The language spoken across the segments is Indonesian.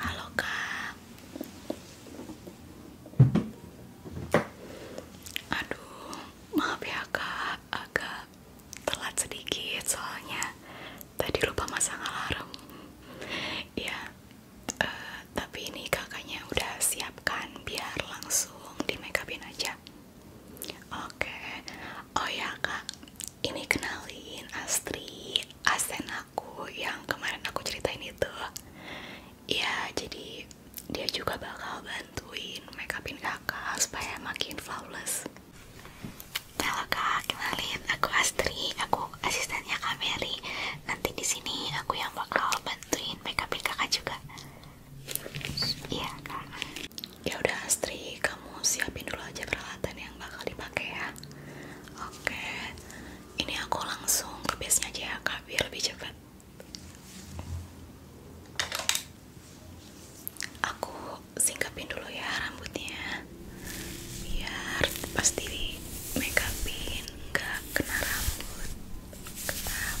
Halo Kak. Aduh, maaf ya Kak, agak telat sedikit soalnya tadi lupa masang alarm. Ya, tapi ini kakaknya udah siapkan biar langsung di makeupin aja. Oke, oh ya kak, ini kenalin Astri, asen aku yang kemarin aku ceritain itu. Ya, jadi dia juga bakal bantuin makeupin kakak supaya makin flawless. Halo kak, kenalin aku Astri, aku asistennya Kak Mary. Nanti di sini aku yang bakal bantuin makeupin kakak juga. Iya kak. Ya udah Astri, kamu siapin dulu aja peralatan yang bakal dipakai ya. Oke, ini aku langsung ke base aja ya kak, biar lebih cepat. Aku singkapin dulu ya rambutnya, biar pasti makeupin nggak kena rambut. Ketap.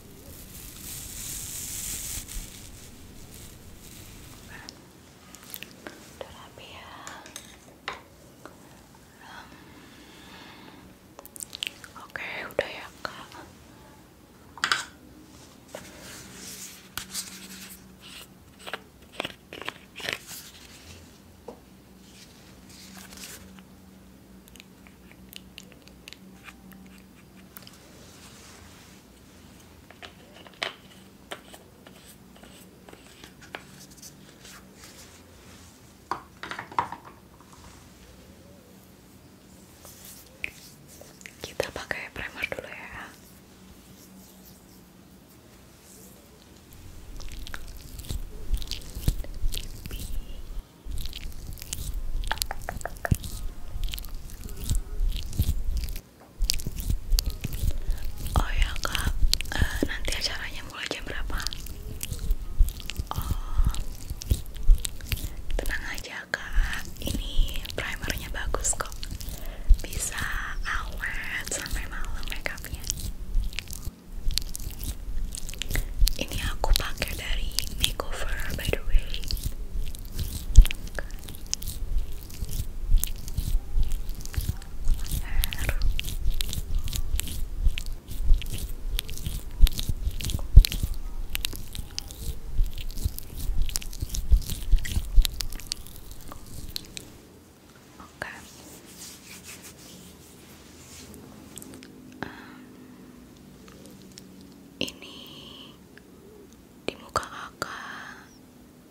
udah ya hmm. oke udah ya kak kita pakai primer dulu ya. Oh ya kak, eh, nanti acaranya mulai jam berapa? Oh, tenang aja kak, ini primernya bagus kok, bisa awet sampai malam makeupnya. Ini aku pakai dari Makeover by the way. Oke. Um, ini di muka kakak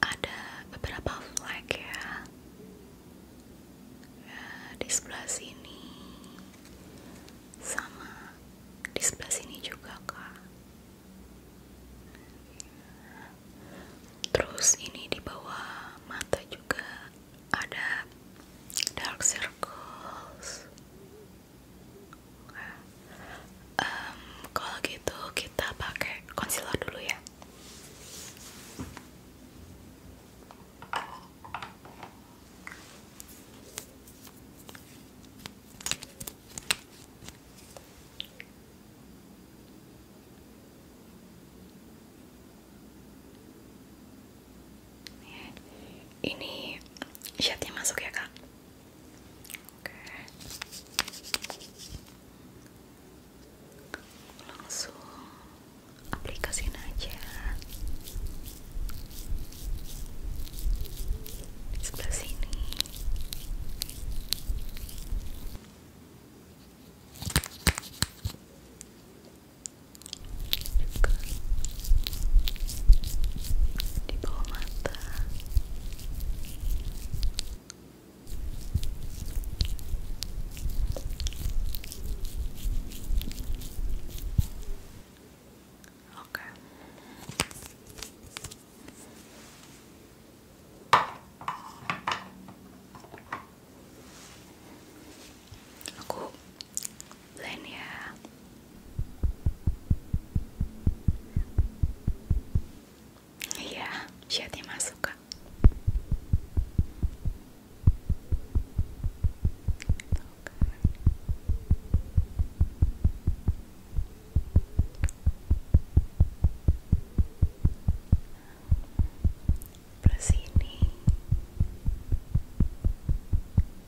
ada beberapa flag ya. ya di sebelah sini sama di sebelah sini juga kak terus ini di bawah mata juga ada dark circles kalau gitu kita pakai concealer dulu ya ini shade masuk ya kak Oke. Langsung aplikasiin aja. Di sebelah sini di bawah mata Oke. Aku blend ya iya shade masuk ke, Plus ini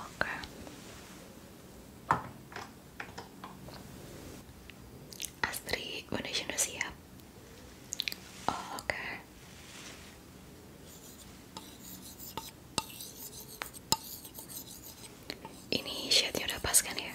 Oke. Astri, Indonesia udah siap? Oh, oke. Ini shade-nya udah pas kan ya?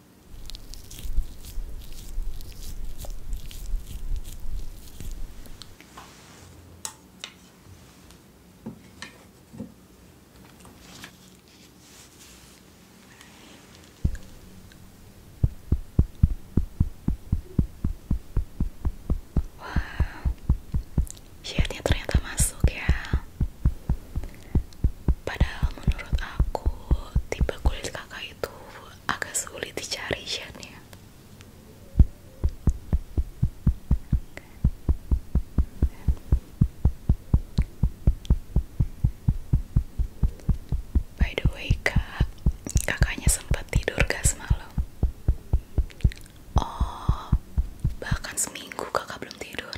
Wow, shirtnya ternyata masuk ya. Padahal menurut aku tipe kulit kakak itu agak sulit dicari Shan ya By the way kak, kakaknya sempat tidur gak semalam? Oh, bahkan seminggu kakak belum tidur.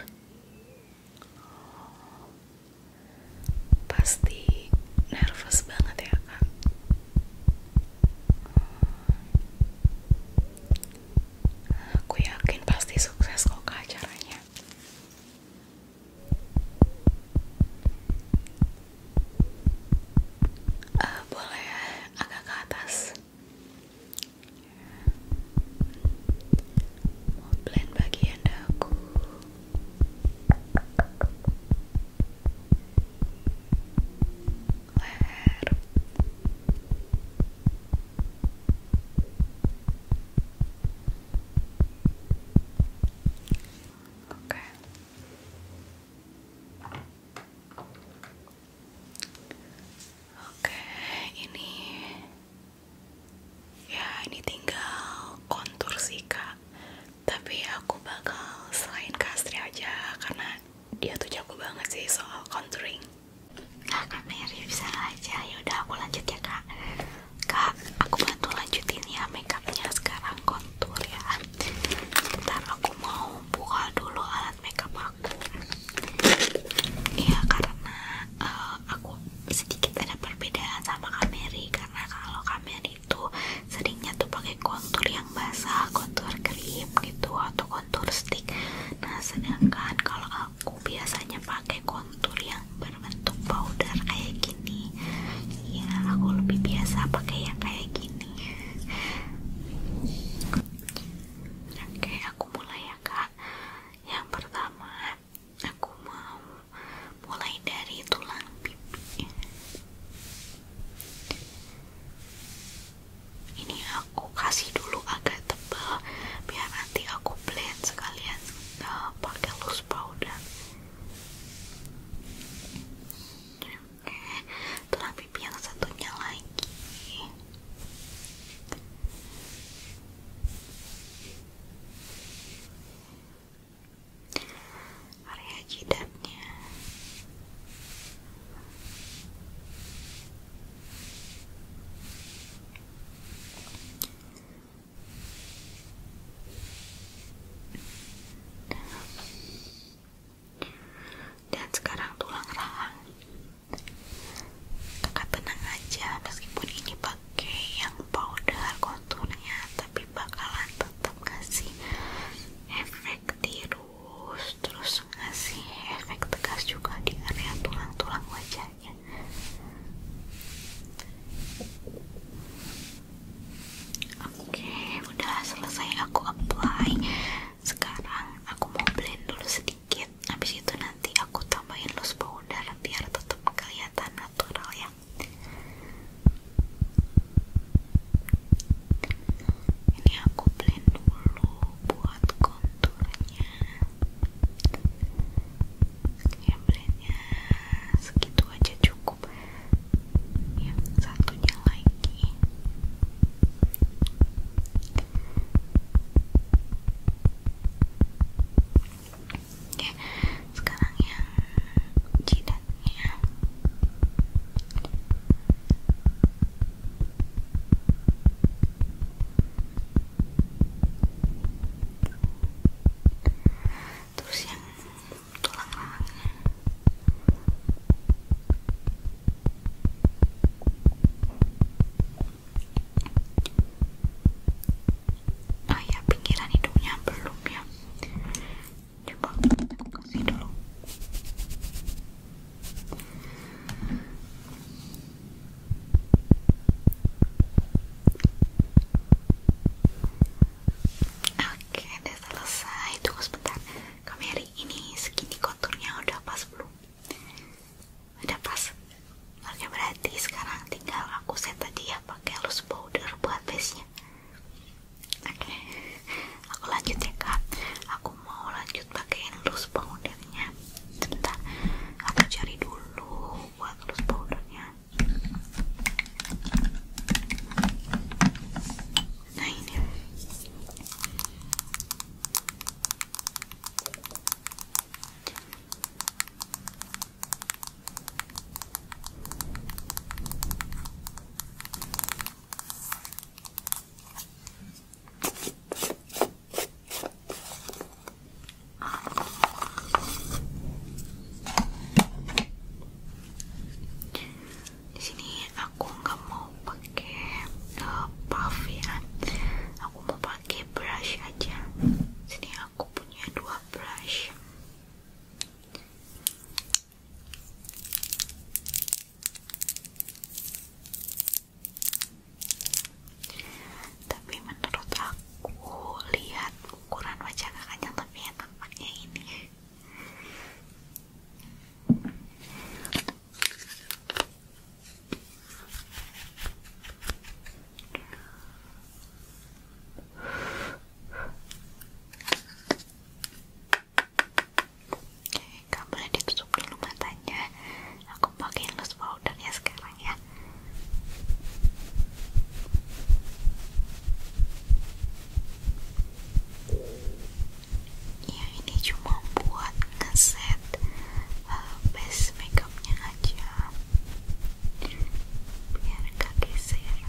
Pasti nervous banget ya kak. Hmm. Aku yakin pasti sukses kok kak acaranya. Eh, boleh agak ke atas. Mau blend bagian dagu. Oke leher oke Oke, ini ya ini tinggal kontur sih kak tapi aku bakal selain kastri aja karena dia tuh jago banget sih soal contouring nah katanya Rio bisa aja ya udah aku lanjut ya kak kak aku bantu lanjutin ya makeupnya sekarang kontur ya ntar aku mau buka dulu alat makeup aku Iya karena uh, aku sedikit ada perbedaan sama kamera karena kalau kalian itu seringnya tuh pakai kontur yang basah kontur krim gitu atau kontur stick nah sedangkan kalau aku biasanya pakai kontur yang berbentuk powder kayak gini ya aku lebih biasa pakai yang kayak gini oke okay, aku mulai ya kak yang pertama aku mau mulai dari tulang pipi ini aku kasih dulu agak tebal biar nanti aku blend sekalian uh, pakai loose powder tulang pipi yang satunya lagi area jidatnya dan sekarang tulang rahang kakak tenang aja meskipun ini pak Oke, yang powder konturnya tapi bakalan tetap ngasih efek tirus terus ngasih efek tegas juga di area tulang-tulang wajahnya oke udah selesai aku apply sekarang aku mau blend dulu sedikit habis itu nanti aku tambahin los bau udara biar tetap kelihatan natural ya ini aku blend dulu buat konturnya ya blendnya segitu aja cukup yang satunya lagi Ya, sekarang yang jidatnya. Terus yang Nah ya pinggiran hidungnya belum ya Coba aku kasih dulu Oke udah selesai Tunggu sebentar hari ini segini konturnya udah pas belum? udah pas oke berarti sekarang tinggal aku set tadi ya pakai loose powder buat base nya oke aku lanjut ya kak aku mau lanjut pakaiin loose powdernya sebentar aku cari dulu buat loose powdernya nah ini di sini aku nggak mau pakai uh, eh, puff ya, eh. aku mau pakai brush aja. Sini aku punya dua brush tapi menurut aku lihat ukuran wajah kakaknya tapi ya ini Oke, kamu boleh ditutup dulu matanya. Aku pakai loose powder ya sekarang ya. Ya ini cuma buat ngeset uh, base makeupnya aja biar gak geser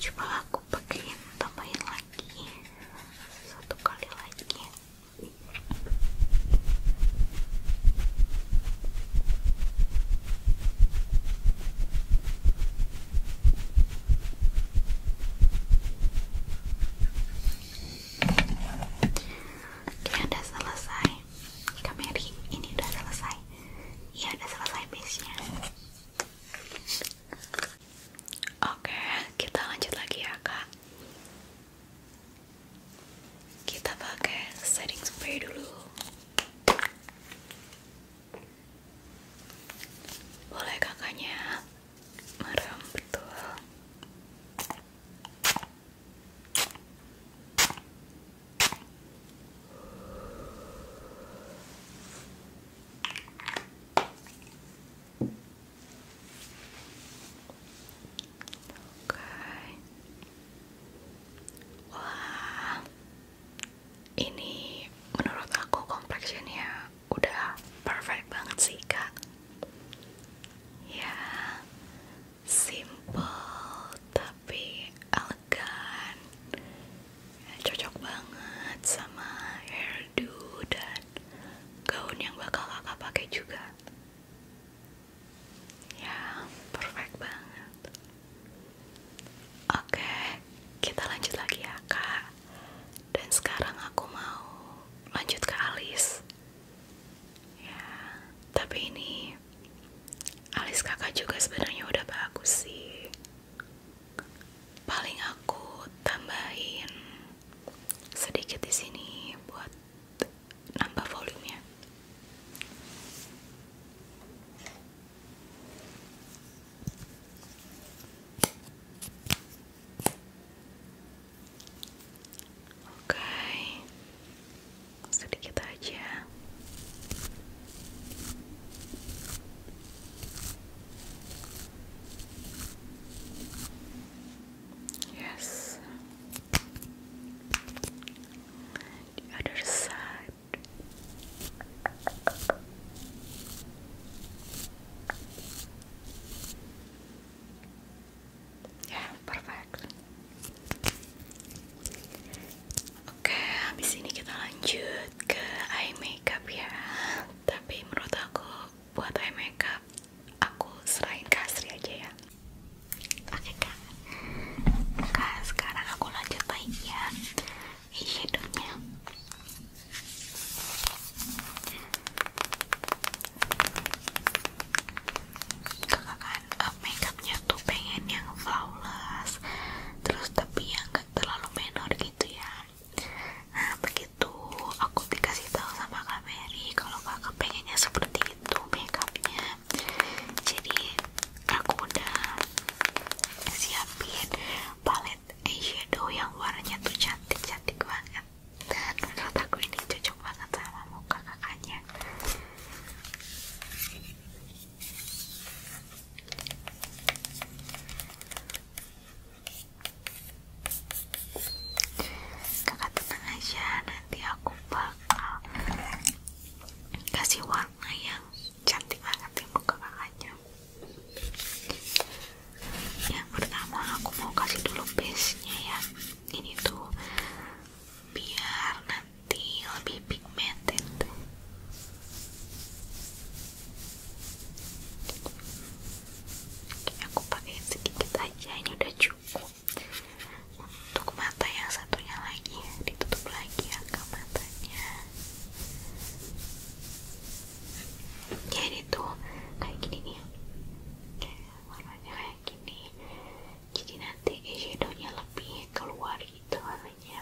coba aku pakein tambahin lagi satu kali lagi dia udah selesai. Kameri, ini udah selesai. Iya, udah selesai base Oke, kita lanjut lagi ya, Kak. Kita pakai setting spray dulu. Boleh kakaknya merem betul. Oke. Wah, ini menurut aku complectionnya udah perfect banget sih kak. Ya, simple tapi elegan, cocok banget sama hairdo dan gaun yang bakal kakak pakai juga. Ya, perfect banget. Oke, kita lanjut lagi ya, Kak. Dan sekarang aku mau lanjut ke alis. Ya, tapi ini alis Kakak juga sebenarnya udah bagus sih. Paling aku tambahin sedikit di sini buat nambah volumenya Oke, sedikit aja. Yes, The other side. Ya, perfect. Oke, habis ini kita lanjut ke eye makeup ya. Tapi menurut aku buat eye makeup aku serahin kasri aja ya. Oke kak Kak sekarang aku lanjut lagi ya hidupnya. Kakak kan uh, makeupnya tuh pengen yang flawless Terus tapi yang terlalu menor gitu ya Nah begitu aku dikasih tahu sama Kak Mary kalau kakak pengennya seperti itu makeupnya jadi aku udah siapin palet eyeshadow yang warnanya tuh cantik-cantik banget dan menurut aku ini cocok banget sama muka kakaknya kakak tenang aja nanti aku bakal kasih warna yang cantik banget di muka kakaknya yang pertama aku mau kasih dulu base nya ya ini tuh biar nanti lebih pigmented aku pakai sedikit aja ini udah cukup untuk mata yang satunya lagi ditutup lagi angka matanya jadi tuh kayak gini nih warnanya kayak gini jadi nanti eyeshadownya lebih keluar gitu warnanya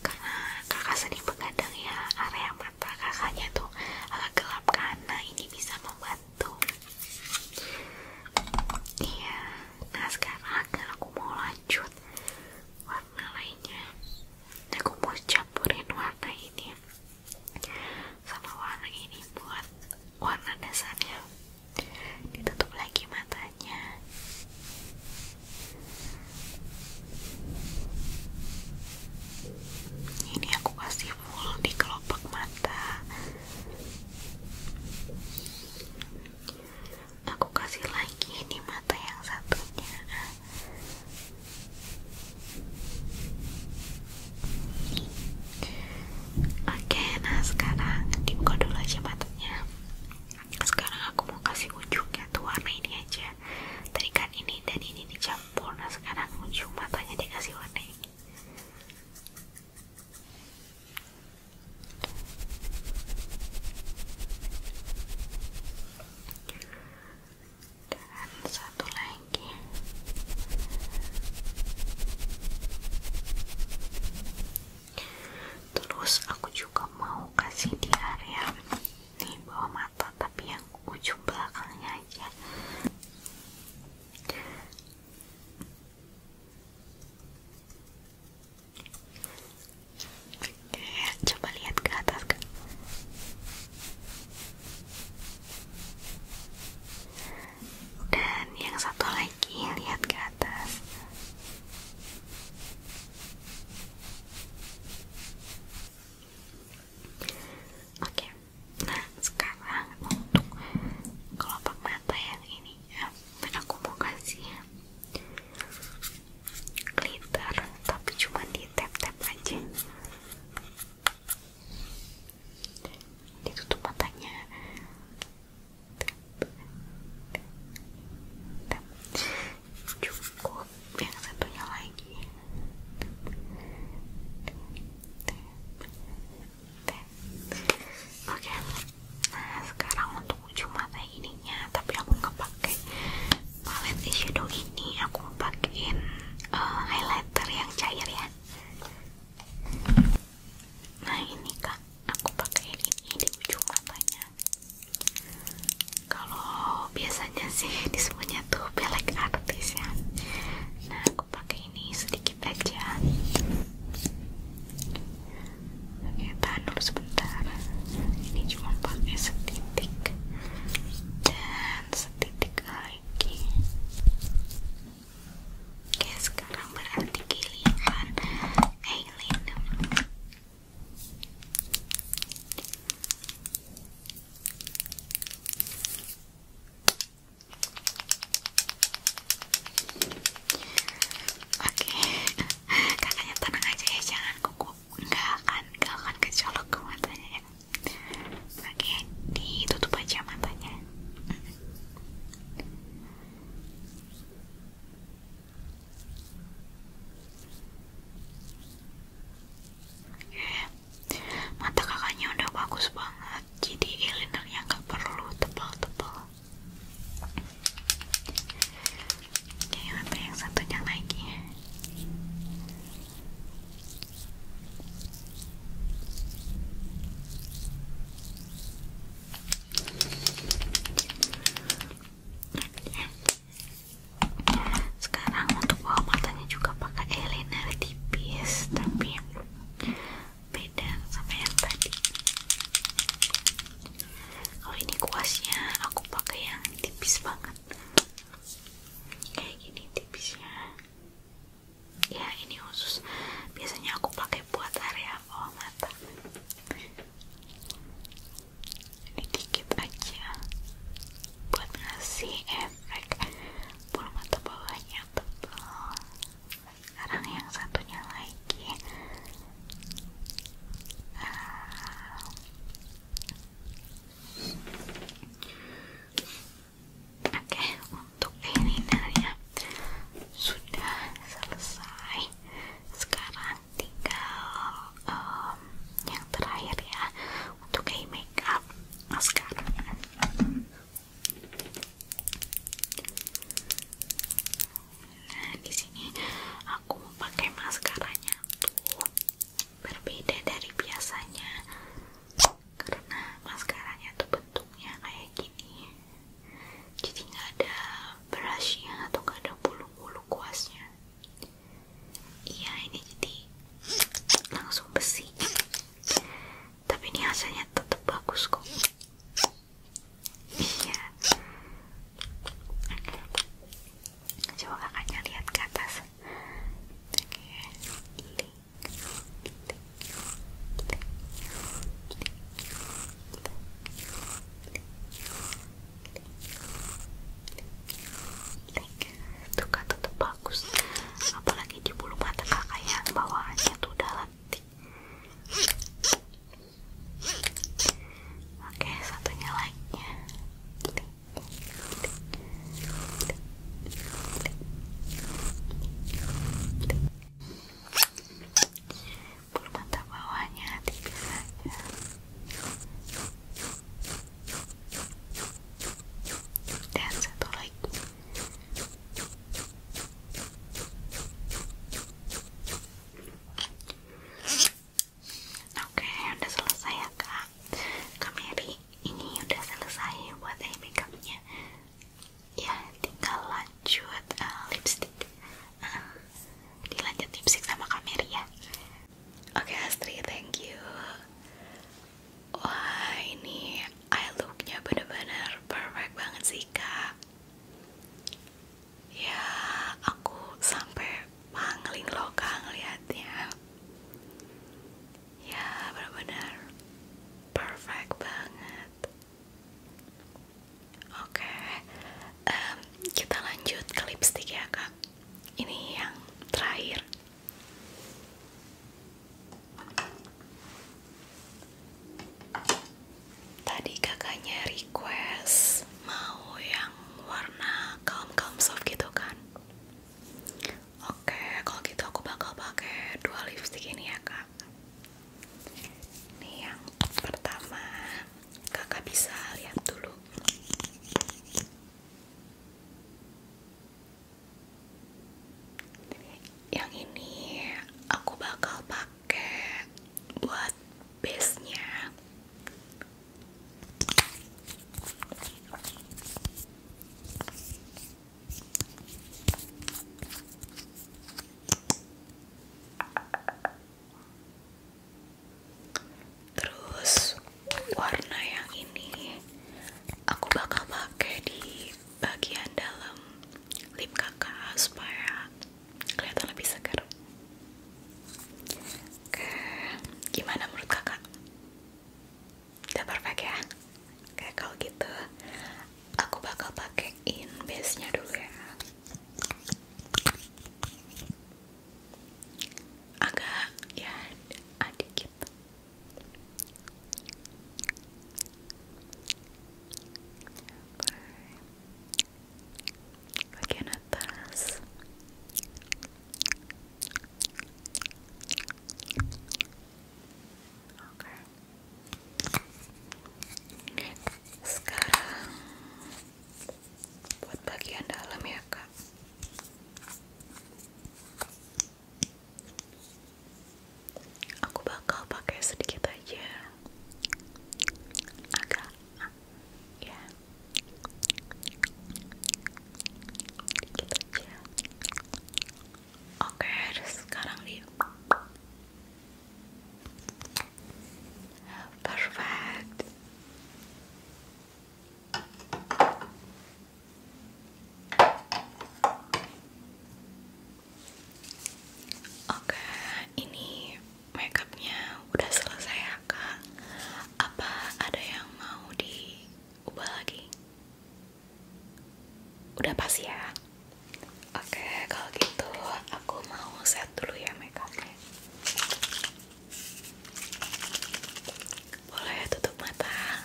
karena kakak sering begadang ya area mata kakaknya tuh agak gelap karena ini bisa membuat satu iya nah sekarang aku mau lanjut warna lainnya aku mau campurin warna ini sama warna ini buat warna dasarnya kita ditutup lagi matanya ini aku kasih full di kelopak mata aku kasih lagi di mata yang satunya oke nah sekarang dibuka dulu aja matanya sekarang aku mau kasih ujungnya tuh warna ini aja tadi ini dan ini dicampur nah sekarang ujung matanya dikasih warna ini dan satu lagi terus aku juga mau kasih di area ini bawah mata tapi yang ujung belakangnya aja coba lihat ke atas kan. Dan yang satu lagi lihat ke atas. Oke nah sekarang untuk kelopak mata yang ini ya aku mau kasih glitter tapi cuma di tap tap aja tutup matanya tap, tap, tap. cukup yang satunya lagi Oke, nah sekarang untuk ujung mata ininya, tapi aku nggak pakai palette eyeshadow ini, aku pakai eh, highlighter yang cair ya. Nah ini kak, aku pakai ini di ujung matanya. Kalau biasanya sih disebutnya tuh pelek artis ya. Nah aku pakai ini sedikit aja oke tahan sebentar ini cuma pakai setitik dan setitik lagi oke sekarang berarti giliran eyelid Oke, Oke, kakaknya tenang aja ya, jangan gugup, nggak akan, nggak akan kecolok ke matanya ya. Oke, tutup aja matanya. Oke, mata kakaknya udah bagus banget jadi eyelinernya nggak perlu tebal-tebal jadi apa yang satunya lagi sekarang untuk bawah matanya juga pakai eyeliner tipis tapi beda sama yang tadi kalau ini kuasnya aku pakai yang tipis banget kayak gini tipisnya ya ini khusus biasanya aku pakai buat area bawah mata ini gigit aja buat ngasih efek bulu mata bawahnya tebal sekarang yang satunya lagi ah. oke okay, untuk elinernya sudah selesai sekarang tinggal yang terakhir ya untuk eye makeup mascara Nah, di sini aku mau pakai maskaranya tuh berbeda dari biasanya karena maskaranya tuh bentuknya kayak gini. Jadi nggak ada brushnya atau nggak ada bulu-bulu kuasnya. Iya, ini jadi langsung besi tapi ini rasanya tetap bagus kok iya. coba kakaknya lihat ke atas Tuh kan tetap bagus apalagi di bulu mata kakak ya bawaannya tuh udah lentik oke satunya lainnya bulu mata bawahnya aja dan satu lagi Oke, udah selesai ya kak. Kameri, ini udah selesai buat eye makeupnya. Ya, tinggal lanjut uh, lipstick. Ah, dilanjut lipstick sama kameri ya. Oke Astri, thank you. Wah ini eye looknya bener-bener perfect banget sih kak Ya aku sampai pangling loh kang ngeliatnya Ya bener-bener perfect banget Oke okay. kita lanjut ke lipstick ya kak Ini yang terakhir Tadi kakaknya request mau yang warna calm-calm soft gitu kan? Oke, kalau gitu aku bakal pakai dua lipstik ini ya kak. Ini yang pertama, kakak bisa lihat dulu. Yang ini aku bakal pakai buat base-nya. Terus warna yang ini aku bakal pakai di bagian dalam lip kakak supaya kelihatan lebih segar. Oke, gimana menurut kakak? Udah perfect ya? Oke, kalau gitu aku bakal pakaiin base-nya dulu ya. Agak ya, adik gitu bagian atas oke sekarang buat bagian dalam ya kak aku bakal pakai sedikit aja agak ya sedikit aja oke sekarang di perfect Oke, ini makeupnya udah selesai ya, kak. Apa ada yang mau diubah lagi? Udah pas ya. Oke, kalau gitu aku mau set dulu ya makeupnya. Boleh tutup mata.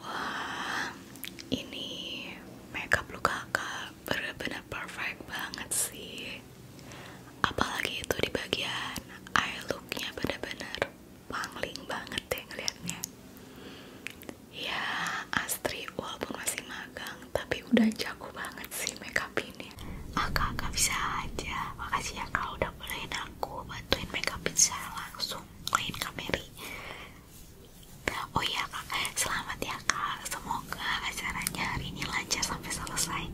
Wah, ini makeup lu kakak bener-bener perfect banget sih. Apalagi itu di bagian eye looknya bener-bener pangling banget deh ngeliatnya. Ya, Astri walaupun masih magang tapi udah jago banget sih makeup ini agak-agak bisa aja makasih ya kau udah bolehin aku bantuin makeupin saya langsung main kamera oh iya kak selamat ya kak semoga acaranya hari ini lancar sampai selesai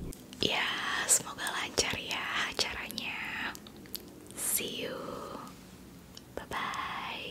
ya semoga lancar ya acaranya see you bye bye